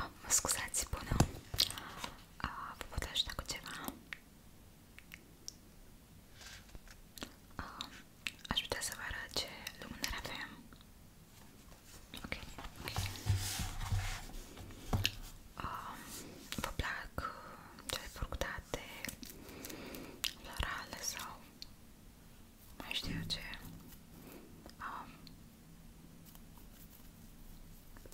Oh, mă scuzați, bună! Uh, vă pot ajuta cu ceva? Uh, aș putea să vă arăt ce lumânări avem. Ok, ok. Uh, vă plac cele furctate, florale sau mai știu eu ce um,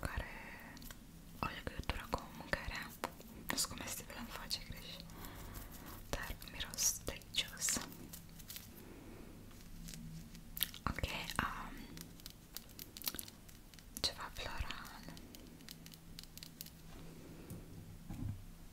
care o legătură cu mâncarea nu sunt comestibil, îmi face griji dar miros delicios ok, um, ceva floral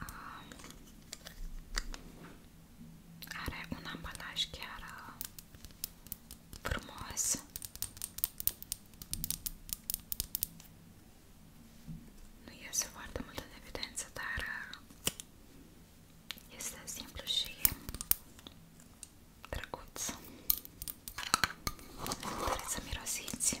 Ah. Are un ambalaj chiar uh, frumos. Nu iese foarte mult în evidență, dar uh, este simplu și drăguț. Trebuie să mirosiți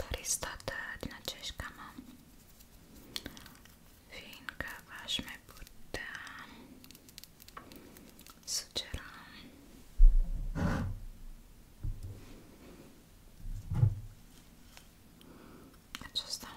dar e stată din aceeași gamă, fiindcă v-aș mai putea sugera acesta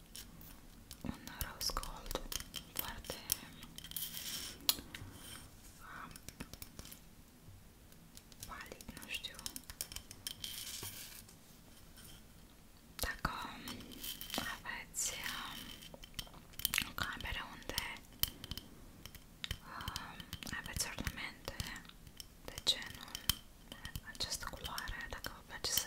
un rose gold foarte um, palid, nu știu dacă aveți um, o cameră unde um, aveți ornamente de genul această culoare, dacă vă place să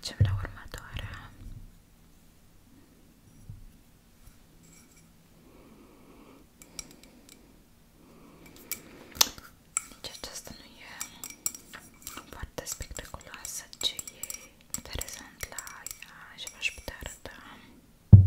Trecem la următoarea. Nici aceasta nu e foarte spectaculoasă, ci e interesant la ea și v-aș putea arăta. Um.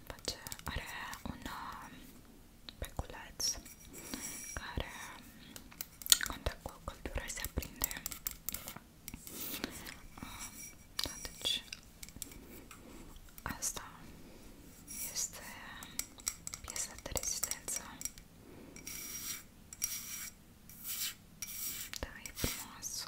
face, are un uh, peculeț care contact cu o căldură se aprinde da, deci asta este piesa de rezistență da, e frumos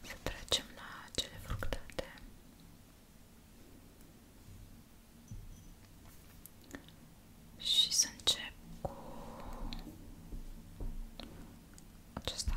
să trecem la cele fructate. Și să încep cu acesta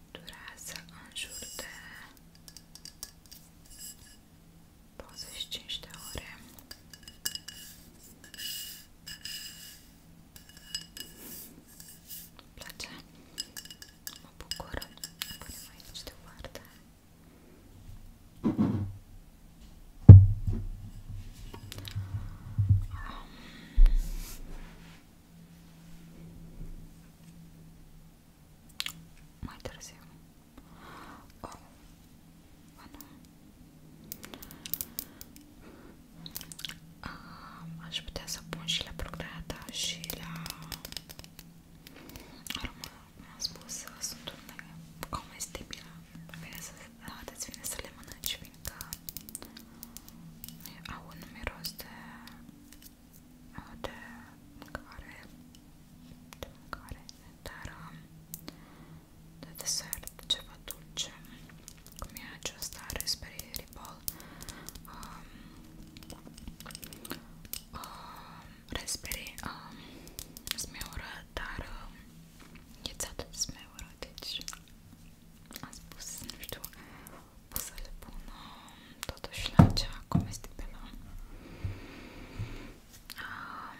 durează în jur de 25 de ore. Îmi place, mă bucur, punem aici deoparte. Um, mai târziu. O, nu. A, aș putea să pun și la procreata și la aroma. Mi-am spus că sunt comestibilă. Vine să, arătați vine să le mănânci, fiindcă au un miros de de mâncare, de mâncare, dar um, de desert, ceva dulce, cum e aceasta Raspberry Ripple um, um, Raspberry um, smeură, dar um, e țeată de smeură, deci am spus, nu știu, pot să le pun um, totuși la cea comestibilă. Um,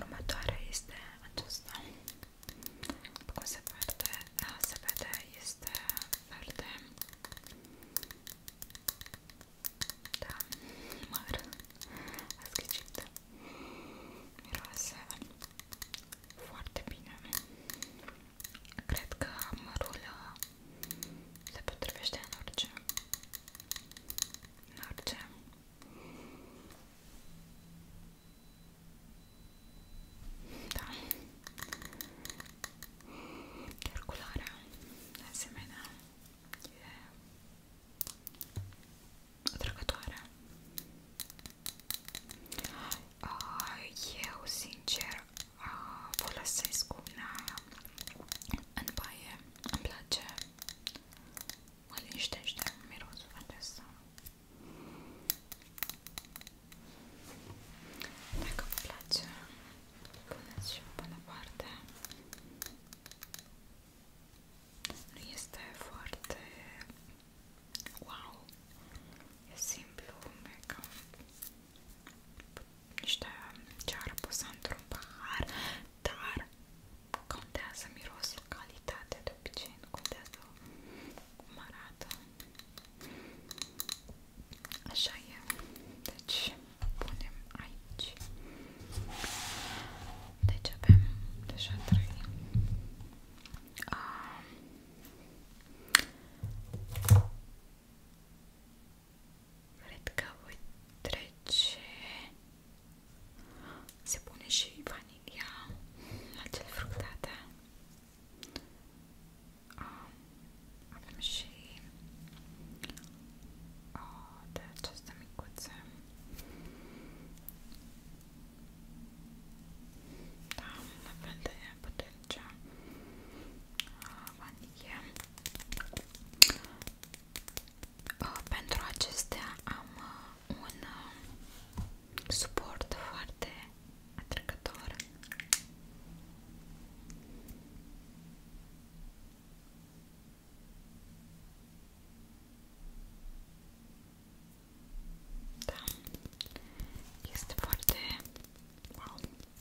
următoarea este aceasta. Cum se vede, uh, se vede, este verde. Da, măr, ați ghicit. Miroase foarte bine. Cred că mărul uh, se potrivește în orice. În orice. Da. Chiar culoarea, de asemenea, e atrăgătoare. Ah, eu, sincer, folosesc una în baie, îmi place, mă liniștește mirosul acesta. Dacă vă place, puneți și pe departe. Nu este foarte wow, e simplu, mega niște ceară pusă într-un pahar, dar contează mirosul, calitatea de obicei, nu contează cum arată. Așa e. Deci, punem aici. Deci avem deja trei. Um, Cred că voi trece se pune și vanilia la cele fructate da? avem și oh, de aceste micuțe da, la fel de putem merge vanie. Pentru acestea am uh, un uh, suport foarte atrăgător. Da. Este foarte wow.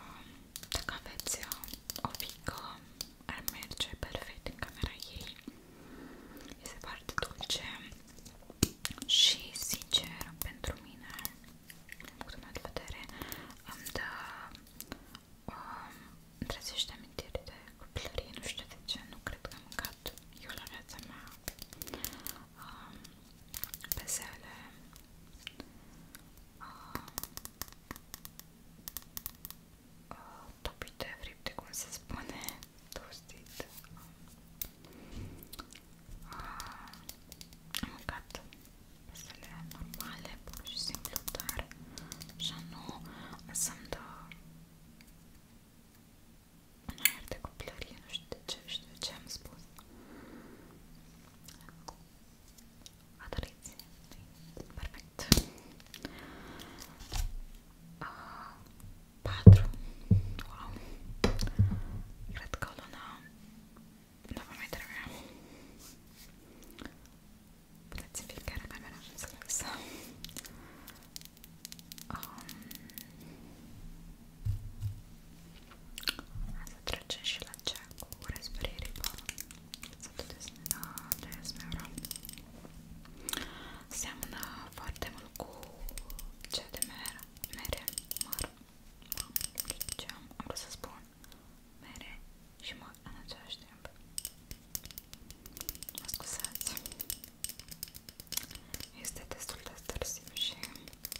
Um, dacă aveți uh, o pică, ar merge perfect în camera ei. Este foarte dulce și, sincer, pentru mine, din punctul meu de vedere, îmi dă um, trezește amintiri de copilărie, nu știu de ce, nu cred că am mâncat eu la viața mea um, pesele, um, uh, topite, fripte, cum se spune, tostit. Um, am mâncat pesele normale, pur și simplu, dar așa nu să-mi dă în aer de copilărie, nu știu de ce, știu de ce am spus. Adoriți, perfect. Uh, ah, 4. Wow. Cred că o lună nu vă mai trebuie. Puteți fiecare camera să lăsăm. Um, să trecem și la cea cu respiririba Să vedeți, de Esmeura Seamănă foarte mult cu cea de mere Mere, măr, ce deci, am, am vrut să spun Mere și măr în același timp Mă scuzați este destul de târziu și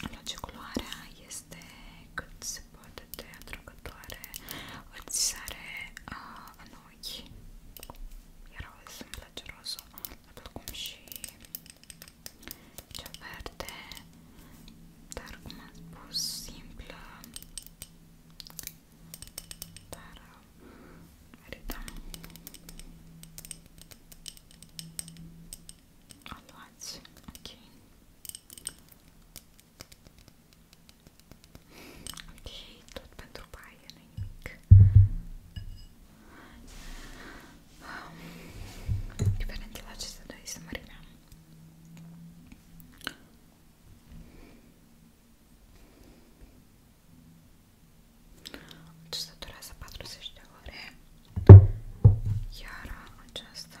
Îmi place culoarea, este cât se poate de atrăgătoare, îți sare uh, în ochi, iar o să-mi place rozul, la fel cum și cea verde, dar cum am spus, simplă, dar uh, merită. Aluați, ok. Ok, tot pentru baie, nu nimic. Um, diferent de la acestea doi este mărimea. Acesta deci durează 40 de ore, iar aceasta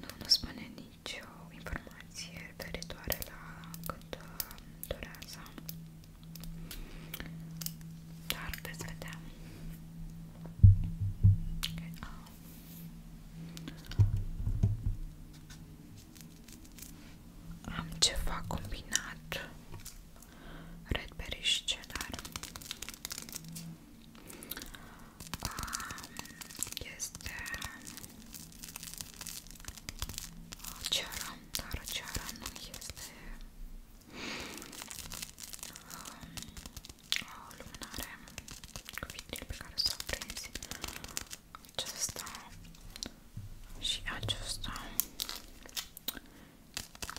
Nu, nu spune nicio informație referitoare la cât uh, durează. Dar veți vedea. Okay. Ah. Am ceva combinat Redberry și cedar Um, este ceara, dar ceara nu este um, o lumânare cu vitril pe care s-a prins acesta și acesta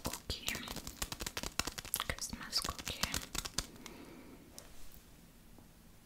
cookie Christmas cookie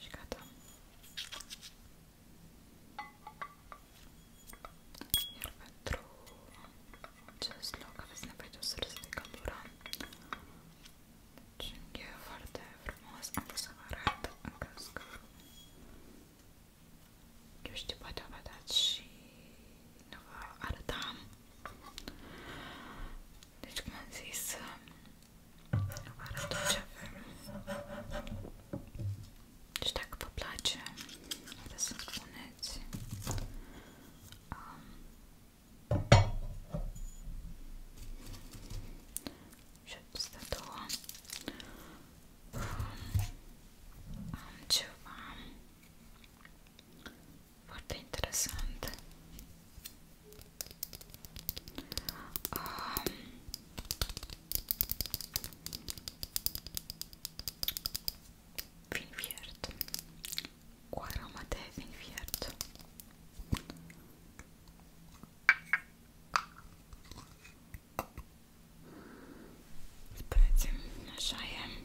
și gata. Iar pentru acest loc aveți nevoie de o sursă de căldură. Deci e foarte frumos. Am vrut să vă arăt în caz că... Eu știu, poate o vedeți și nu vă arătam. Deci, cum am zis, Vă arăt tot ce avem. Și deci dacă vă place, vreți să-mi spuneți um, și acestea două um, am ceva foarte interesant Um, vin fiert cu aromă de vin fiert Spre așa e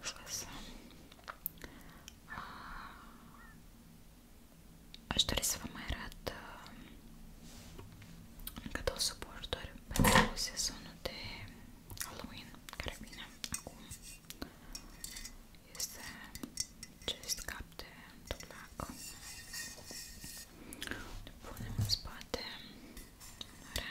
Fos. Aș dori să vă mai arăt uh, încă două suporturi pentru sezonul de Halloween, care vine acum. Este acest cap de tulac. Le punem în spate. Are.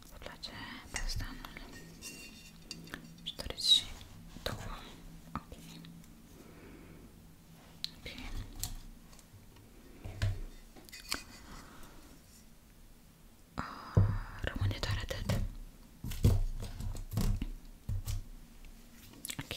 Îți place pastanul? Își doriți și două? Ok. Ok. Uh, rămâne doar atât. Ok.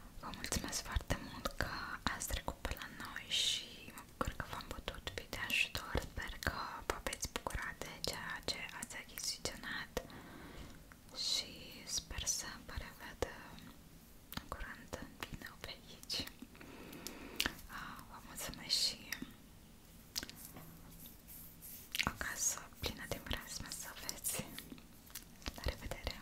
Vă mulțumesc foarte mult că ați trecut pe la noi și mă bucur că v-am putut fi de ajutor. Sper că vă veți bucura de ceea ce ați achiziționat și sper să vă revăd în curând în video pe aici. Ah, vă mulțumesc și o casă plină de mireasmă să aveți. La revedere!